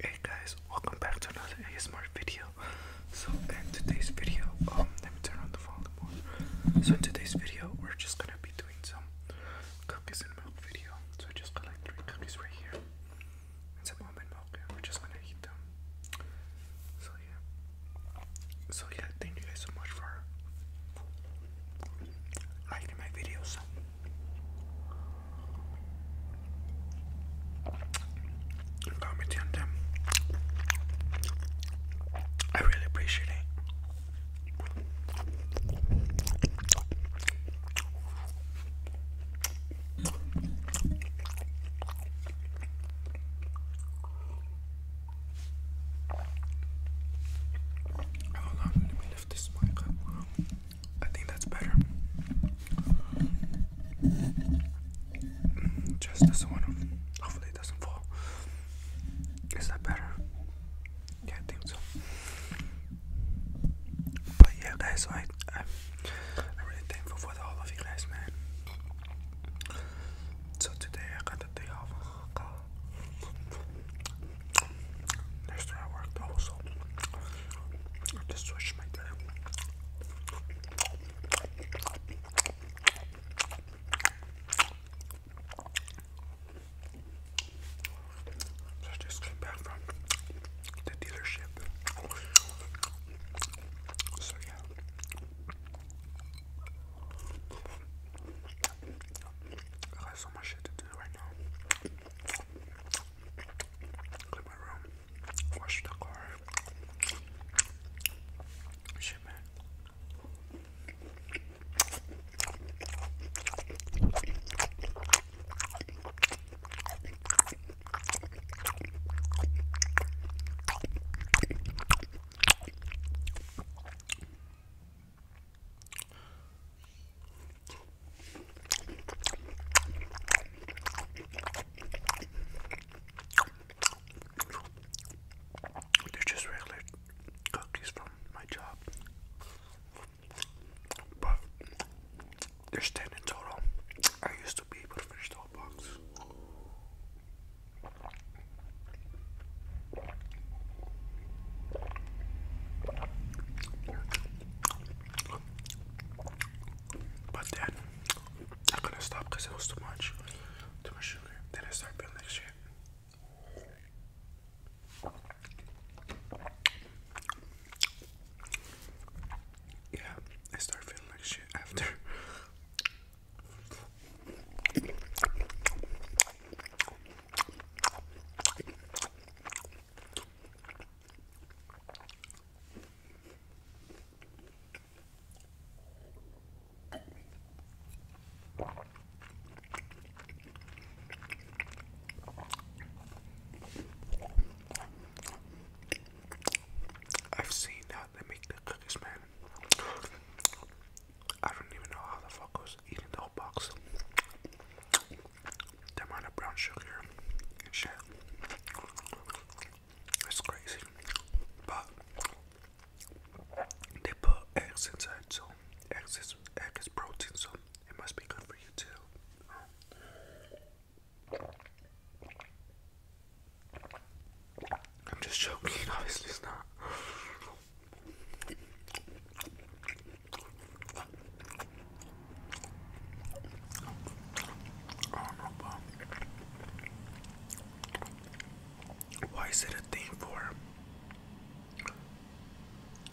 Hey guys, welcome back to another ASMR video. So in today's video, um, let me turn on the volume So in today's video, we're just gonna be doing some cookies and milk video. So I just got like three cookies right here and some almond milk, we're just gonna eat them. So yeah, so yeah, thank you guys so much for liking my videos. Commenting on them. I really appreciate it. Hold on, let me lift this mic up. I think that's better. Mm, just this one. Hopefully, it doesn't fall. Is that better? Yeah, I think so. But yeah, guys, so I, I'm, really thankful for all of you guys, man. So today I got the day off. Next day I worked also. I just switched my day. So just came back from the dealership. So yeah. I got so much shit to do right now. Clean my room, wash the car. Shit, man. They're just regular cookies from my job, but there's 10 in total. I used to be able to finish the whole box. But then I couldn't stop because it was too much. Too much sugar. Then I started feeling shit. Yeah, I start feeling like shit after. I've seen how they make the cookies, man. I don't even know how the fuck I was eating the whole box. The amount of brown sugar shit. It's crazy. But they put eggs inside, so eggs is, egg is protein, so it must be good for you too. I'm just joking, obviously it's not. not why is it a thing for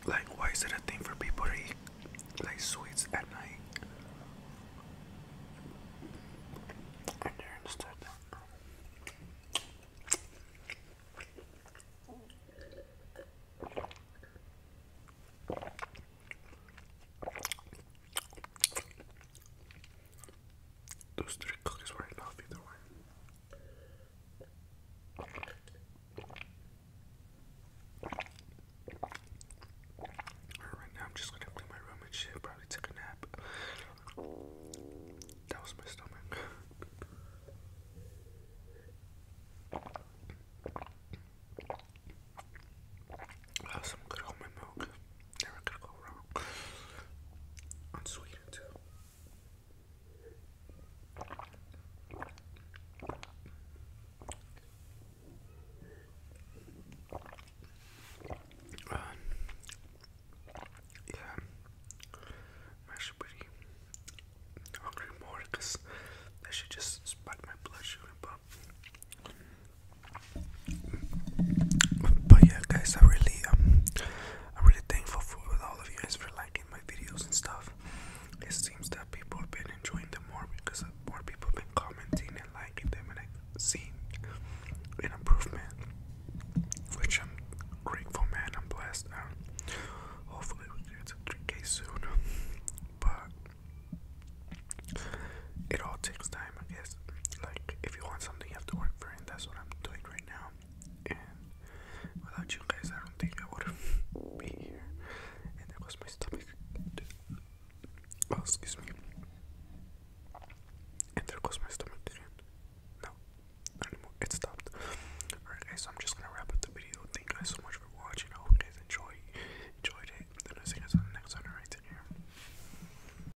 like, why is it a thing for people to eat like sweets at night? I never understood that. Those three cookies were enough either way. Right now, I'm just gonna clean my room and shit. Probably take a nap. That was my stomach. Well, some good almond milk. Never could go wrong. Unsweetened um, yeah, I'm actually pretty hungry more because that should just spike my blood sugar, but yeah, guys, I really um, I'm really thankful for all of you guys for liking my videos and stuff. It seems that people have been enjoying them more because more people have been commenting and liking them, and I've seen an improvement, which I'm grateful, man. I'm blessed. Um, hopefully, we get to 3K soon, but it all takes time, I guess. Like, if you want something, you have to work for it. And that's what I'm doing right now and without you guys, I don't think I would be here. And that was my stomach. Oh, excuse me. And there goes my stomach No, anymore. It stopped. Alright, guys, so I'm just gonna wrap up the video. Thank you guys so much for watching. I hope you guys enjoy, enjoyed it. And I'll see you guys on the next one right here.